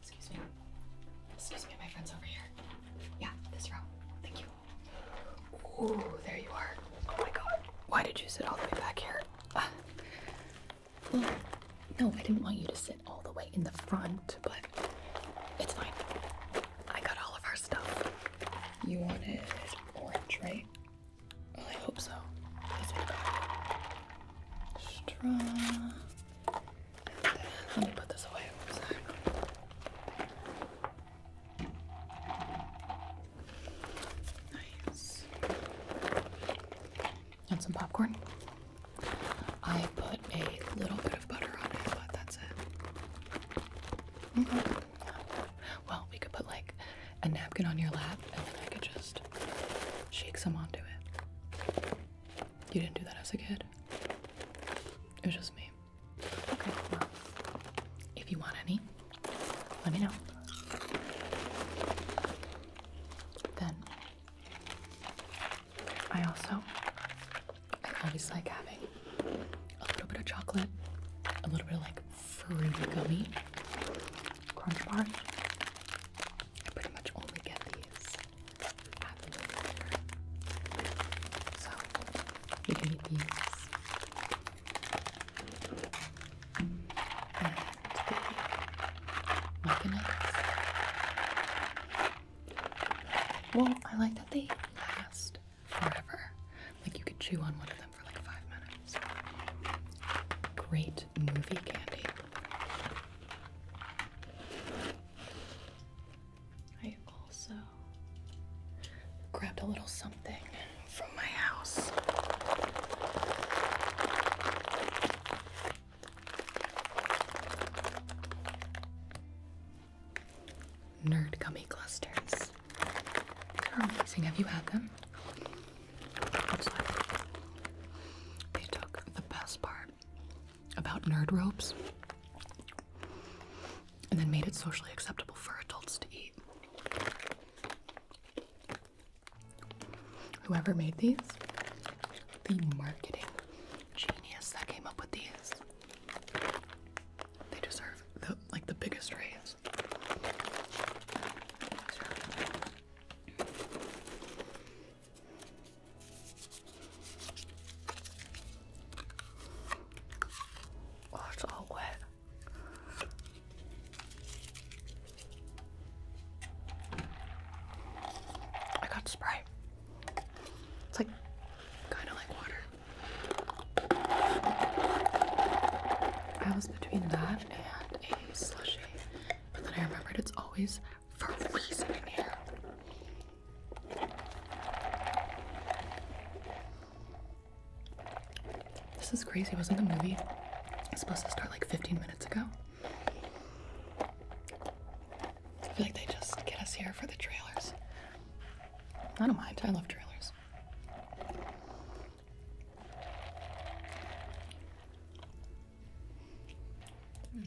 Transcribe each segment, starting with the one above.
Excuse me. Excuse me, my friend's over here. Yeah, this row. Thank you. Ooh, there you are. Oh my god. Why did you sit all the way back here? Ah. Mm. no, I didn't want you to sit all the way in the front, but it's fine. I got all of our stuff. You wanted orange, right? I hope so. That's what I got. Straw. Let me put this away. Nice. And some popcorn. I put a little bit of butter on it, but that's it. Mm-hmm. Well, we could put like a napkin on your lap and then I could just shake some onto it. You didn't do that as a kid. It was just me. Okay, well, if you want any, let me know. Then I also I always like having a little bit of chocolate, a little bit of like fruity gummy crunch bar. I pretty much only get these well, I like that they last forever. Like you could chew on one of them for like five minutes. Great movie candy. I also grabbed a little something from my house. Nerd gummy clusters. They're amazing. Have you had them? they took the best part about nerd ropes and then made it socially acceptable for adults to eat. Whoever made these, the marketing genius that came up with these, they deserve like the biggest raise. Oh, it's all wet. I got spray. It's like kind of like water. I was between that and a slushy, but then I remembered it's always this is crazy. Wasn't the movie supposed to start like 15 minutes ago? I feel like they just get us here for the trailers. I don't mind. I love trailers. Hmm.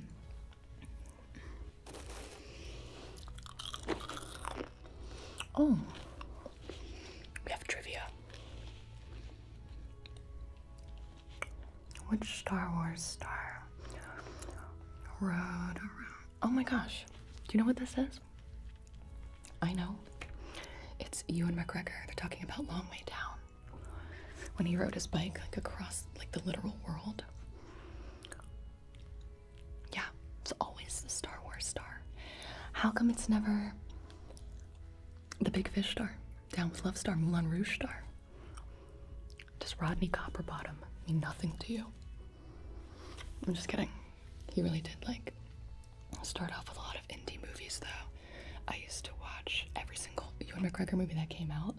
Oh, we have trivia. Which Star Wars star rode around? Oh my gosh, do you know what this is? I know. It's Ewan McGregor. They're talking about Long Way Down when he rode his bike like across like the literal world. Yeah, it's always the Star Wars star. How come it's never the Big Fish star, Down with Love star, Moulin Rouge star? Does Rodney Copperbottom mean nothing to you? I'm just kidding. He really did like start off with a lot of indie movies though. I used to watch every single Ewan McGregor movie that came out.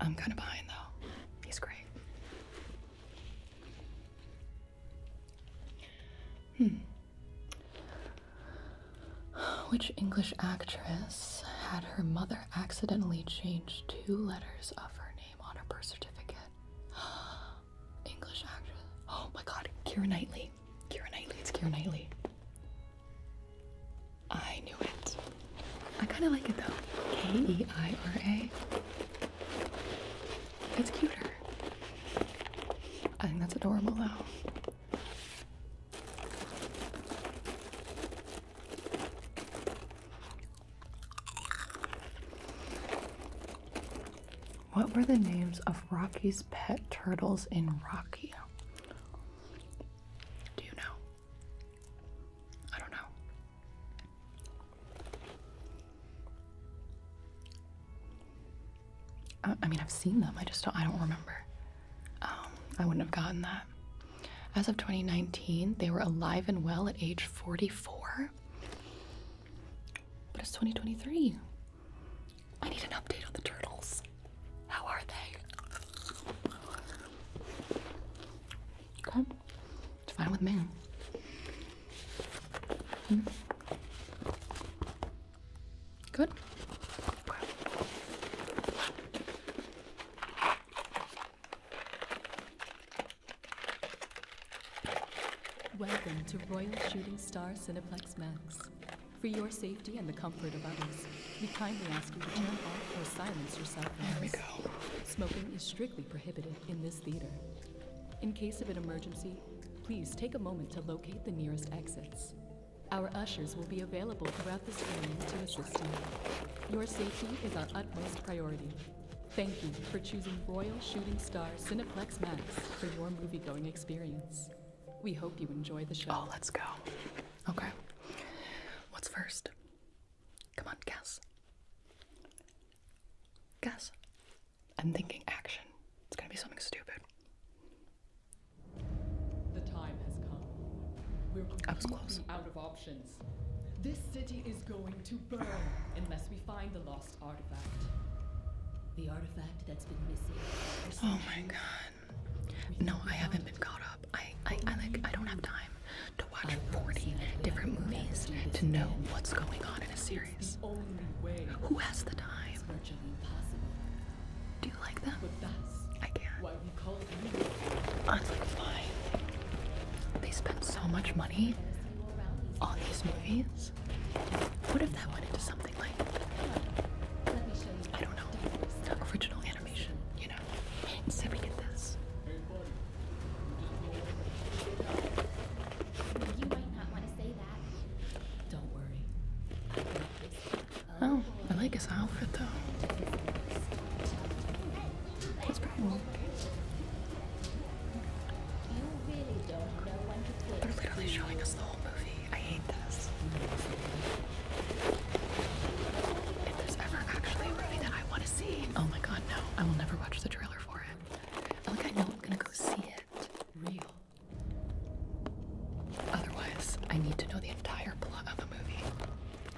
I'm kind of behind though. He's great. Hmm. Which English actress had her mother accidentally change two letters of her name on her birth certificate? English actress. Oh my god, Kira Knightley. Kira Knightley, it's Kira Knightley. I knew it. I kind of like it though. K E I R A. It's cuter. I think that's adorable though. What were the names of Rocky's pet turtles in Rocky? Do you know? I don't know. I, mean, I've seen them. I just don't, I don't remember. Um, I wouldn't have gotten that. As of 2019, they were alive and well at age 44. But it's 2023. I need an update on the turtles. How are they? it's fine with me. Hmm. Good. Welcome to Royal Shooting Star Cineplex Max. For your safety and the comfort of others, we kindly ask you to turn off or silence yourself. cell There we go. Smoking is strictly prohibited in this theater. In case of an emergency, please take a moment to locate the nearest exits. Our ushers will be available throughout this training to assist you. Your safety is our utmost priority. Thank you for choosing Royal Shooting Star Cineplex Max for your movie-going experience. We hope you enjoy the show. Oh, let's go. Okay. What's first? Come on, guess. Guess. I'm thinking action. It's gonna be something stupid. The time has come. We're I was close. out of options. This city is going to burn unless we find the lost artifact. The artifact that's been missing. Oh my god. No, I haven't been caught up. I, I, like I don't have time to watch 40 different movies to know what's going on in a series. Who has the time? Do you like them? I can't. That's like fine. They spend so much money on these movies. What if that went into something like I don't know. Original animation. Oh, I like his outfit though. That's pretty cool. They're literally showing us the whole movie. I hate this. If there's ever actually a movie that I want to see, oh my god, no. I will never watch the trailer for it. like I know I'm gonna go see it. Real. Otherwise, I need to know the entire plot of a movie.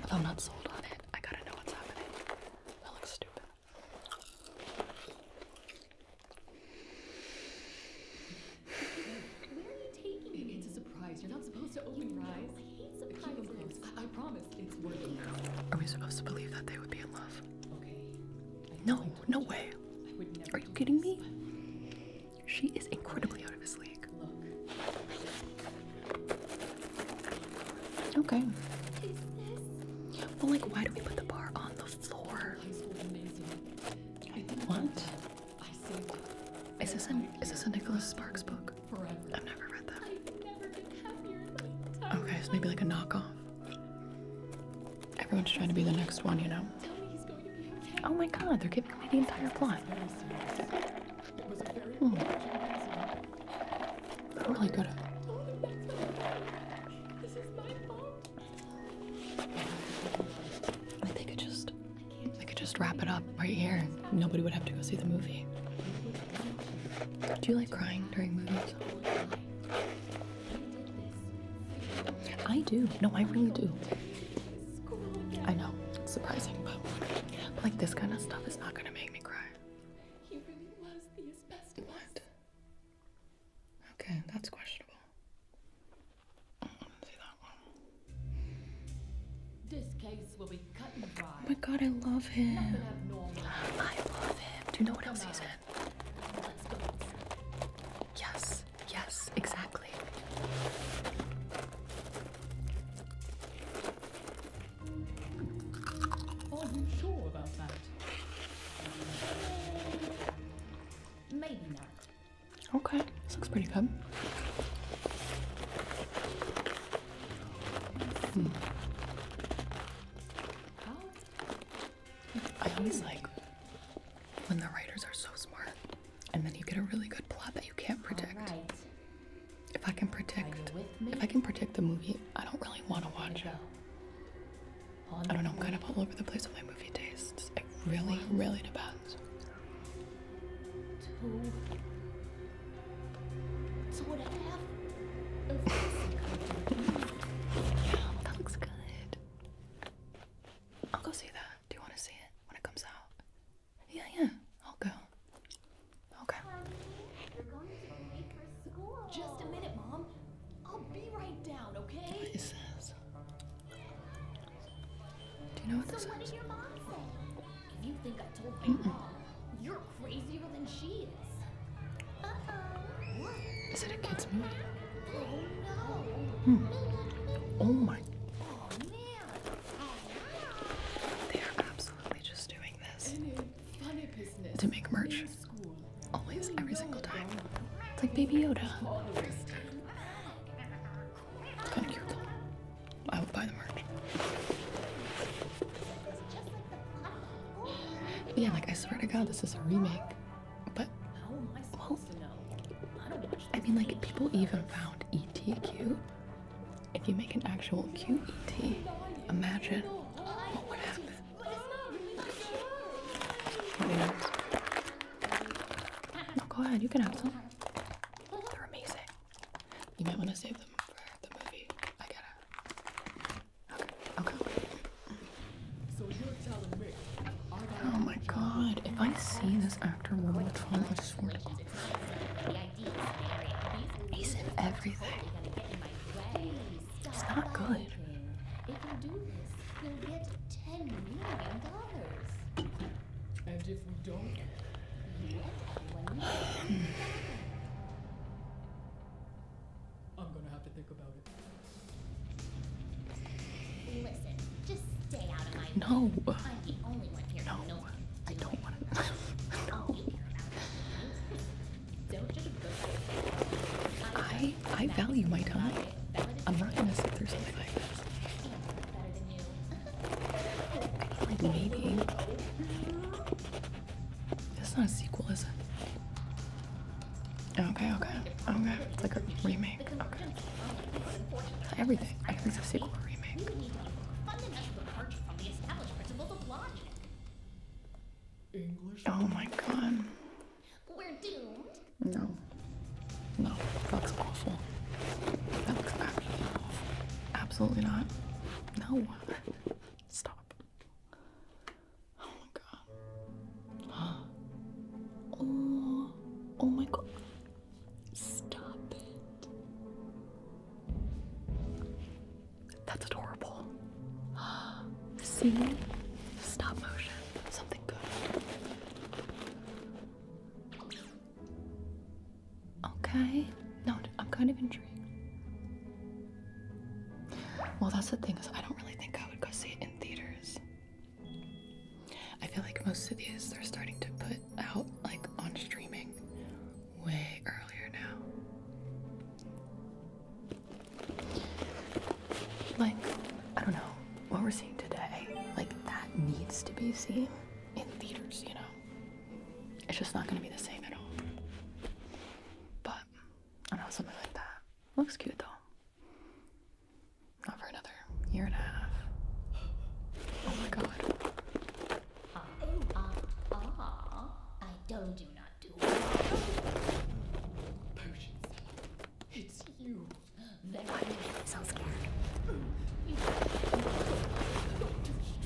If not sold on it, I gotta know what's happening. That looks stupid. You're not supposed to open your eyes. I hate surprises. I, I promise it's working. Are we supposed to believe that they would be in love? Okay. No, no way. Are you kidding me? She is incredibly out of his league. Okay. Well, like, why do we put the bar on the floor? What? Is this an is this a Nicholas Sparks book? Okay, so maybe like a knockoff. Everyone's trying to be the next one, you know. Oh my god, they're giving away the entire plot. It was hmm. a very hmm. They're really good oh, at I think it just I could just wrap it up right here. Nobody would have to go see the movie. Do you like crying during movies? I do. No, I really do. I know, it's surprising, but like this kind of stuff is not gonna make me cry. What? Okay, that's questionable. Mm, Oh my god, I love him. I love him. Do you know what else he's in? Yes, yes, exactly. Are you sure about that? Maybe not. Okay, this looks pretty good. I always like when the writers are so smart, and then you get a really good plot that you can't predict. If I can predict, if I can predict the movie, I don't really want to watch it. I don't know. I'm kind of all over the place with my movie tastes. It really, really depends two, two and a half. that looks good. I'll go see that. Do you want to see it when it comes out? Yeah, yeah. I'll go. Okay. What is this? Do you know what this what is? I told my mom, you're crazier than she is. Uh it a kids' movie? Oh, no. Hmm. Oh my. Oh, they are absolutely just doing this to make merch. Always, every single time. It's like Baby Yoda. Kind of cute I will buy the merch. Yeah, like I swear to God, this is a remake. But well, I mean, like people even found ET cute. If you make an actual cute ET, imagine what would happen. go ahead, you can have some. They're amazing. You might want to save them for the movie. I gotta. Okay, okay. So you're telling me. Oh my god, if I see this actor World more time, I swear to god. He's in everything. It's not good. If you do this, you'll get ten million dollars. And if we don't I'm gonna have to think about it. No. I'm the only one here. No. no I don't want to. no. I I value my time. I'm not gonna sit through something like this. It's Like maybe. It's not a sequel, is it? Okay, okay, okay. It's like a remake. Okay. everything. I think it's a sequel or remake. Oh my god. We're doomed. No. No. That looks awful. That looks absolutely awful. Absolutely not. No. Stop. Oh my god. Oh, oh my god. Stop it. That's adorable. See? Stop motion. Something good. Okay. No, I'm kind of intrigued. Well, that's the thing is I don't really think I would go see it in theaters. I feel like most of these they're starting to put out like on streaming way earlier now. Like, I don't know, what we're seeing today, like that needs to be seen in theaters, you know it's just not gonna be the same at all. But I don't know something like that looks cute though. Not for another year and a half. Oh my god.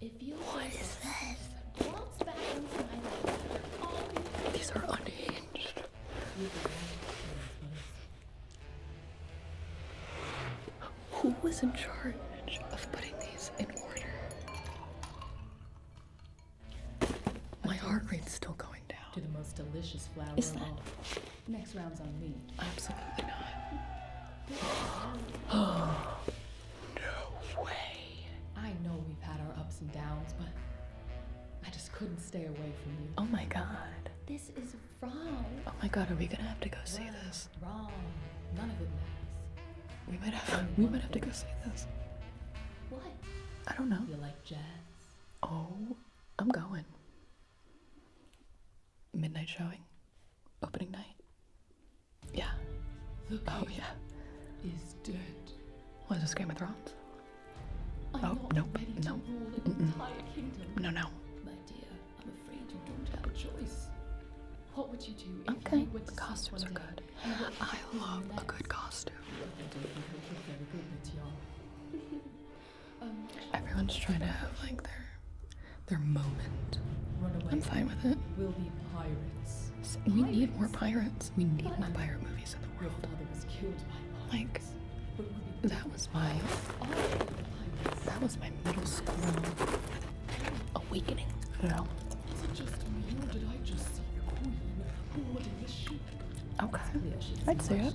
If you What is this? Waltz these are unhinged. Who was in charge of putting these in order? My heart rate's still going down. the most delicious flower. Is that? Next round's on me. Absolutely not. No way. I know we've had our ups and downs, but I just couldn't stay away from you. Oh my god. This is wrong. Oh my god, are we gonna have to go see this? Wrong. None of it matters. We might have we might have to go see this. What? I don't know. You like jazz? Oh, I'm going. Midnight showing. Opening night. Yeah. The oh yeah. Is dead. Was this Game of Thrones? I'm oh no, no. Mm -mm. No, no. My dear, I'm afraid you don't have a choice. What would you do if okay. you went to costumes are good. I love a good costume. Um, Everyone's trying to have like their their moment. I'm fine with it. We'll be pirates. We need more pirates. We need my pirate movies in the world. Like, that was my, that was my middle school awakening. You know? Okay, I'd say it.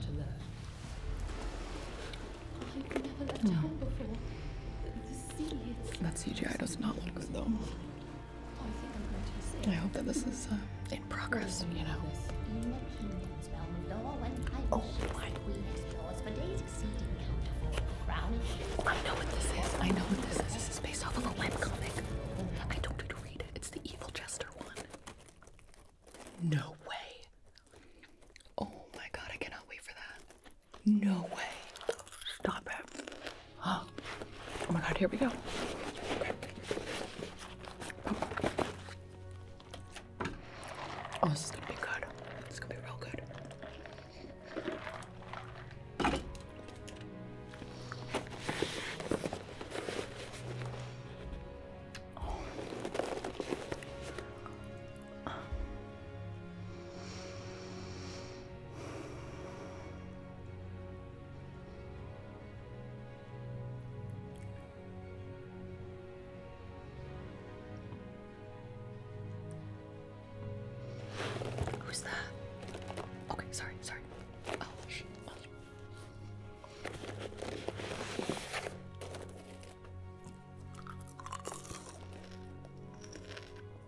Hmm. That CGI does not look good though. I hope that this is uh, in progress, you know. Oh my. I know what this is. I know what this is. This is based off of a web comic. I told you to read it. It's the Evil Jester one. No way. Oh my god, I cannot wait for that. No way. Stop it. Oh, my god, here we go. Oh, this is gonna be good. It's gonna be real good. Who's that? Okay, sorry, sorry. Oh,